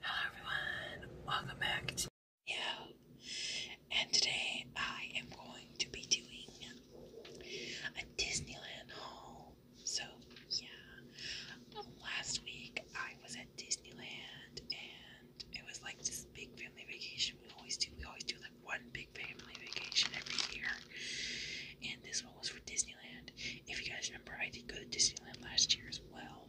Hello everyone, welcome back to And today I am going to be doing a Disneyland haul. So yeah, last week I was at Disneyland and it was like this big family vacation we always do. We always do like one big family vacation every year. And this one was for Disneyland. If you guys remember, I did go to Disneyland last year as well.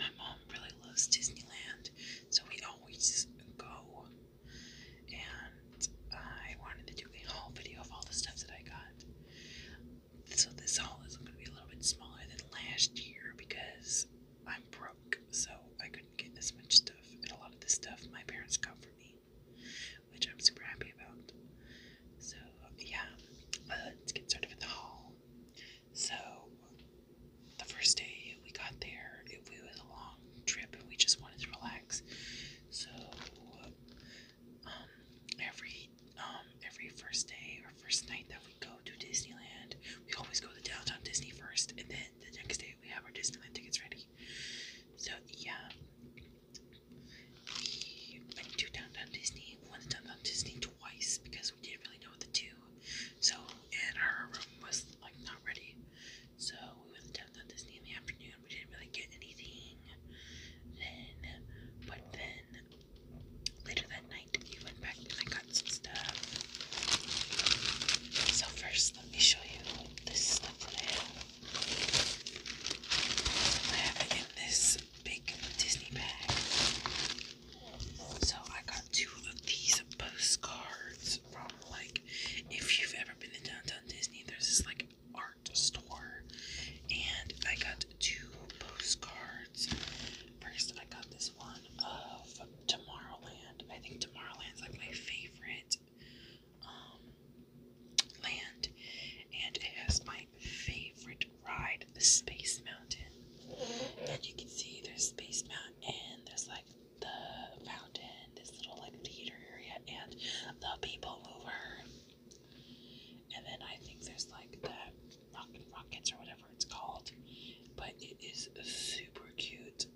My mom really loves Disneyland, so we always go. And I wanted to do a whole video of all the stuff that I got so this haul is going to be a little bit smaller than last year because I'm broke, so I couldn't get as much stuff. And a lot of this stuff my parents got for me, which I'm super happy about. So yeah, let's get started with the haul. So the first day we got there, it, it was a long trip, and we just wanted to relax. So um, every um, every first day or first night that we go to Disneyland, we always go to downtown Disney first, and then the next day we have our Disneyland tickets ready. So yeah, we went to downtown Disney. went to downtown Disney twice because we didn't really know what to do. So and our room was like not ready. So we went to downtown Disney in the afternoon. We didn't really get anything. Then, but then later that night, he went back and I got some stuff. So, first, let me show you this stuff I have. it in this big Disney bag. So, I got two of these postcards from, like, if you've ever been to Downtown Disney, there's this, like, art store. And I got two postcards shirts. First, I got this one of Tomorrowland. I think Tomorrowland's like my favorite um, land, and it has my favorite ride, the Space Mountain. And you can see there's Space Mountain, there's like the fountain, this little like theater area, and the People Mover. And then I think there's like the. Rock and Rockets or whatever it's called. But it is super cute.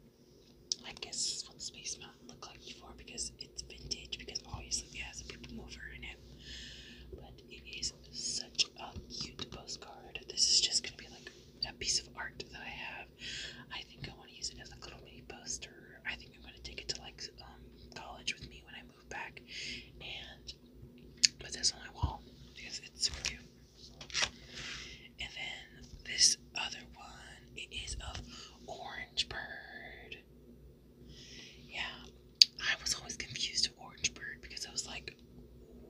I guess this is what Space Mountain looked like before because it's vintage because obviously it has a people mover in it. But it is such a cute postcard. This is just gonna be like a piece of art that I have. I think I want to use it as a little mini poster. I think I'm gonna take it to like um college with me when I move back and put this on my wall because it's super cute. And then this other one, it is of Orange Bird. Yeah, I was always confused to Orange Bird because I was like,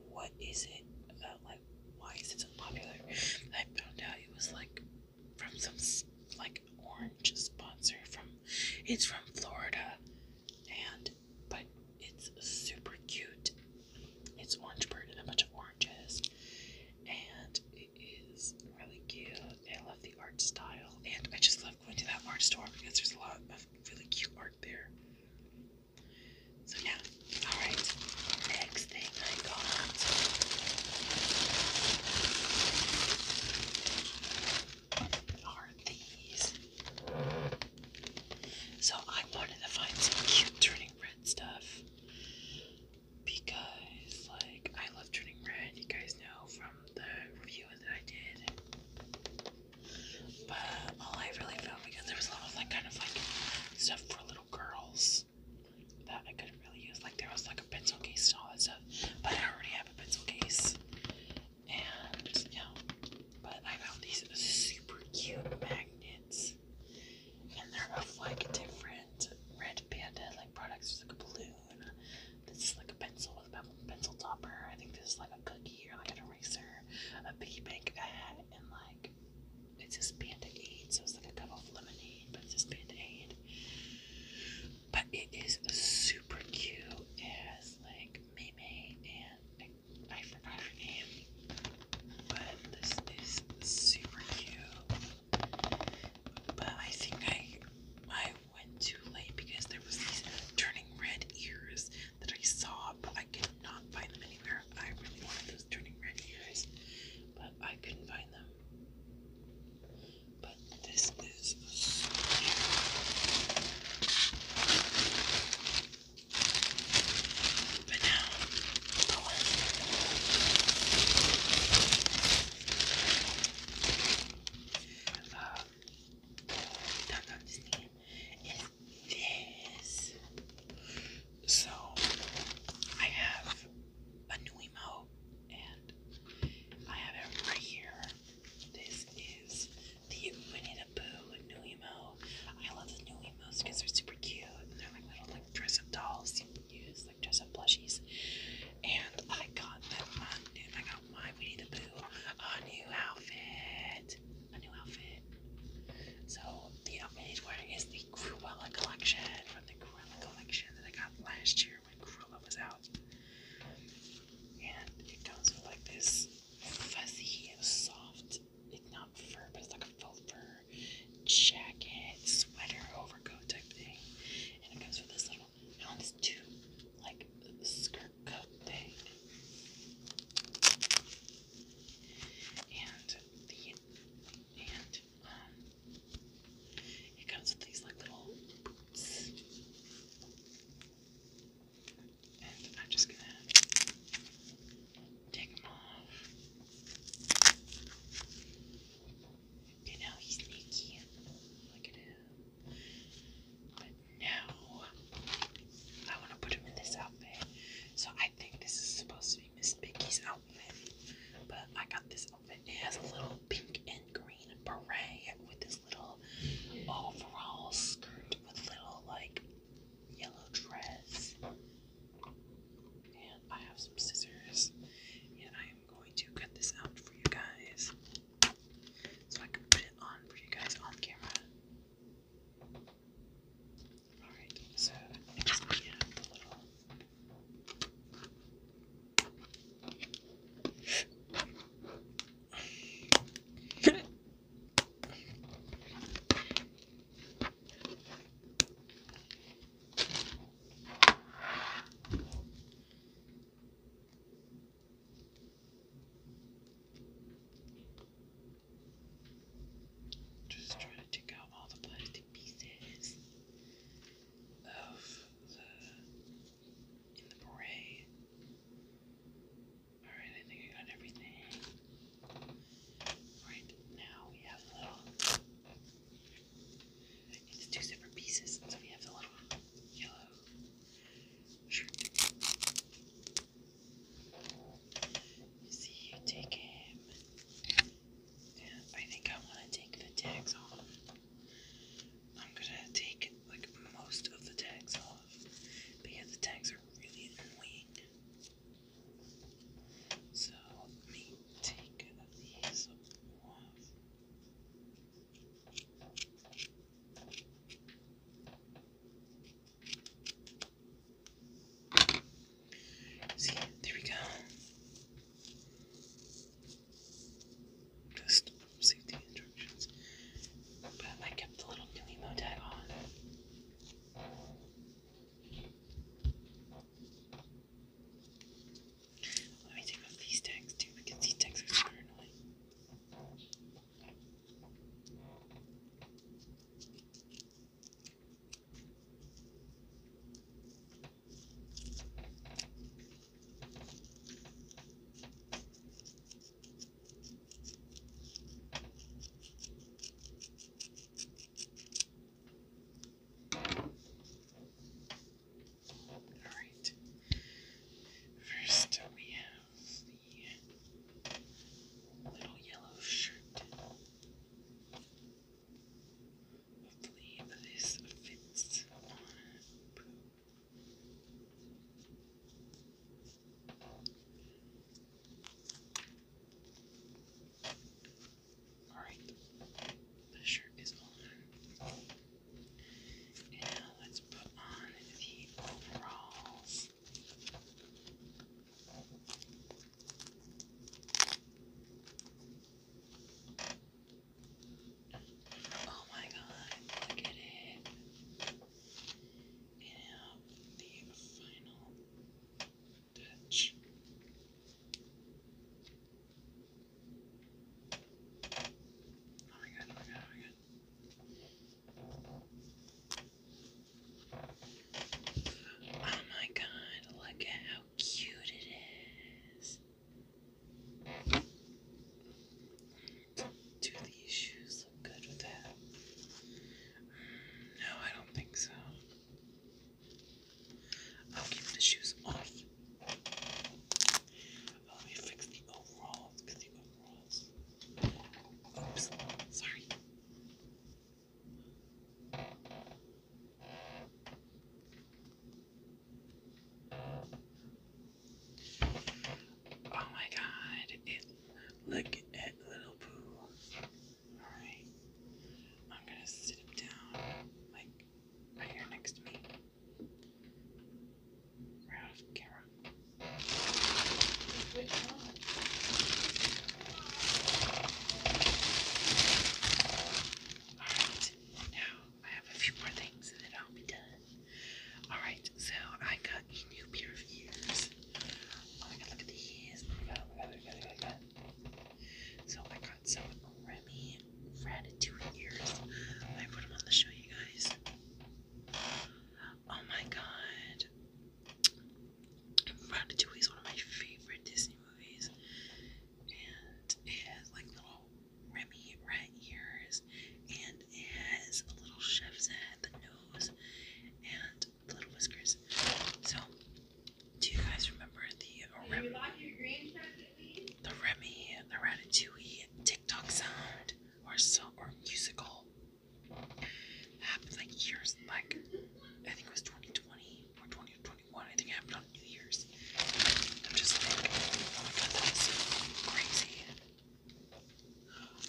what is it? about? Uh, like, why is it so popular? I found out it was like from some like orange sponsor from. It's from Florida, and but it's super cute. It's orange bird and a bunch of oranges, and it is really cute. I love the art style, and I just love going to that art store because there's a lot of really cute art there. So yeah, all right. Next thing I got. So I wanted to find some cute turning red stuff because, like, I love turning red. You guys know from the review that I did. But all I really found because there was a lot of like kind of like stuff for little girls that I couldn't really use. Like there was like a pencil case and all that stuff, but I already have a pencil case and yeah, but I found these super cute magnets, and they're of like different red panda like products. There's like a balloon. This is like a pencil with a pencil topper. I think this is like a cookie or like an eraser, a piggy bank, a hat, and like it's just panda aid. So it's like a cup of lemonade, but it's just panda aid. But it is super cute. It has like Mei Mei and I forgot her name, but this is super cute. But I think I I went too late because there was these turning red ears that I saw, but I could not find them anywhere. I really wanted those turning red ears, but I couldn't find them. But this is so cute. But now, oh well. Uh, Dot Dot Disney is this. So, I have a new emote and I have it right here. This is the Winnie the Pooh new emo. I love the new emos because they're super cute and they're like little like dress up dolls you can use, like dress up plushies. And I got them new. I got my Winnie the Pooh a new outfit, a new outfit. So the outfit he's wearing is the Cruella collection from the Cruella collection that I got last year when Cruella was out. And it comes with like this fuzzy, and soft it's not fur, but it's like a faux fur jacket, sweater, overcoat type thing. And it comes with this little, I want this like skirt coat thing. And the, and, um, it comes with these like little boots. I'm just gonna take him off. You know, he's sneaky. Look at him. But now, I want to put him in this outfit. So I think this is supposed to be Miss Piggy's outfit. But I got this outfit. It has a little pink and green beret with this little overall skirt with little, like, yellow dress. And I have some scissors, and I am going to cut this out for you guys so I can put it on for you guys on camera. Alright, so just a little. Just trying to take out all the plastic pieces of the in the beret. Alright, I think I got everything. Right now we have a little. It's two separate pieces, so we have the little yellow see, you take him. I think I want to take the tags off. I'm gonna take like most of the tags off. But yeah, the tags are really annoying. So let me take these off. See, there we go. Just safety instructions. But I kept the little Nemo tag on. Let me take off these tags too because these tags are super annoying. Alright. First, we have the little yellow shirt. Hopefully, this fits on Alright, the shirt is on. And now let's put on the overalls. Oh my god, look at it. And the final touch. Oh my god, oh my god, oh my god. Oh my god, look at how cute it is. Do these shoes no, I don't think so. I'll keep the shoes off. let me fix the overalls. Oops, sorry. Oh my god, look at little poo. Alright. I'm gonna sit him down like right here next to me. Right off camera. Alright, now I have a few more things and then I'll be done. Alright, so I got new pair of ears. Oh my god, look at these. Oh my god, So I got some Remy Ratatouille ears. I put them on to show you guys. Oh my god. Ratatouille is one of my favorite Disney movies. And it has like little Remy rat ears. And it has a little chef's hat, the nose. And the little whiskers. So, do you guys remember the Remy, the Ratatouille TikTok sound or so or musical happened like years like I think it was 2020 or 2021. I think it happened on New Year's. I'm just like, oh my god, that crazy.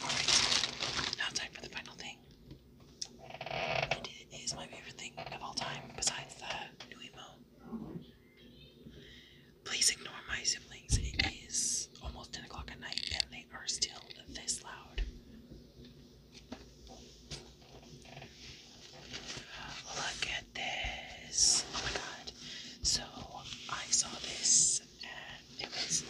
Alright, now time for the final thing. And it is my favorite thing of all time, besides the Nuimo. Please ignore my siblings. It is almost 10 o'clock at night and they are still this loud. Look at this. Oh my god. So I saw this and it was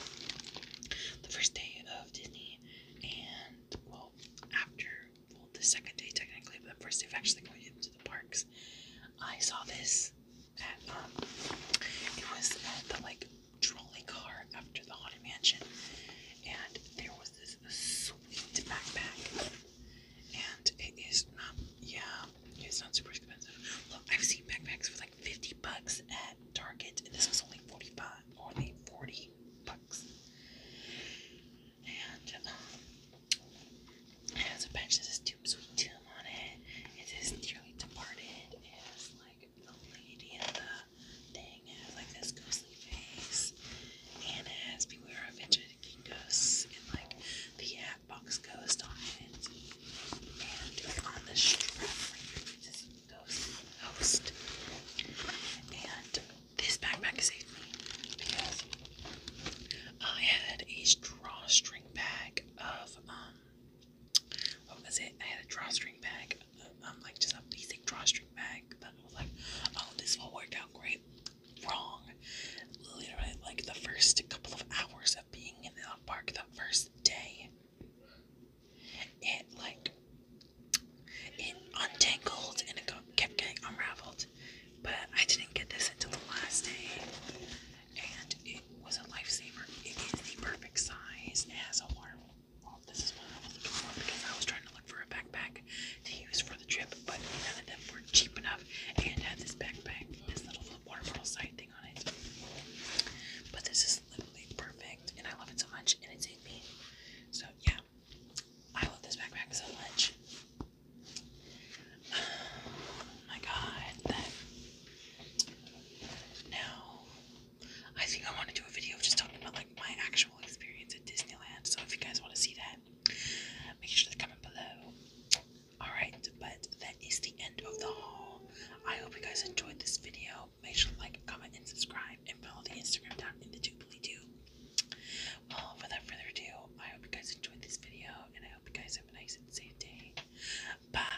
the first day Disney, and well, after the second day technically, but the first day of actually going into the parks, I saw this at um, it was at the like trolley car after the haunted mansion, and there was this sweet backpack, and it is not yeah, it's not super expensive. Look, I've seen backpacks for like fifty bucks at Target, and this was only 45 only 40 bucks. And um, it has a bench that says Tomb Sweet Tomb on it. It says Dearly Departed. It has like the lady in the thing. It has like this ghostly face. And it has Beware of King Ghosts and like the Hat Ghost on it. And on the strap host, host. And this backpack saved me because I had a drawstring bag of um what was it? I had a drawstring bag, um, like just a basic drawstring bag But I was like, oh, this will work out great. Wrong. Literally, like the first couple of hours of being in the park, the first day, it like it untangled and it kept getting unraveled, but I didn't get this until the last day, and it was a lifesaver. It is the perfect size. It has a water. bottle. this is what I was looking for because I was trying to look for a backpack to use for the trip, but none of them were cheap enough, and had this backpack, this little water bottle side thing on it. But this is literally perfect and I love it so much and it saved me. So yeah, I love this backpack so much. Oh my god, now I think I want to do a video just talking about like my actual experience at Disneyland. So if you guys want to see that, make sure to comment below. Alright, but that is the end of the haul. I hope you guys enjoyed this video make sure to like, comment, and subscribe, and follow the Instagram down in the doobly doo. Well, without further ado, I hope you guys enjoyed this video, and I hope you guys have a nice and safe day. Bye.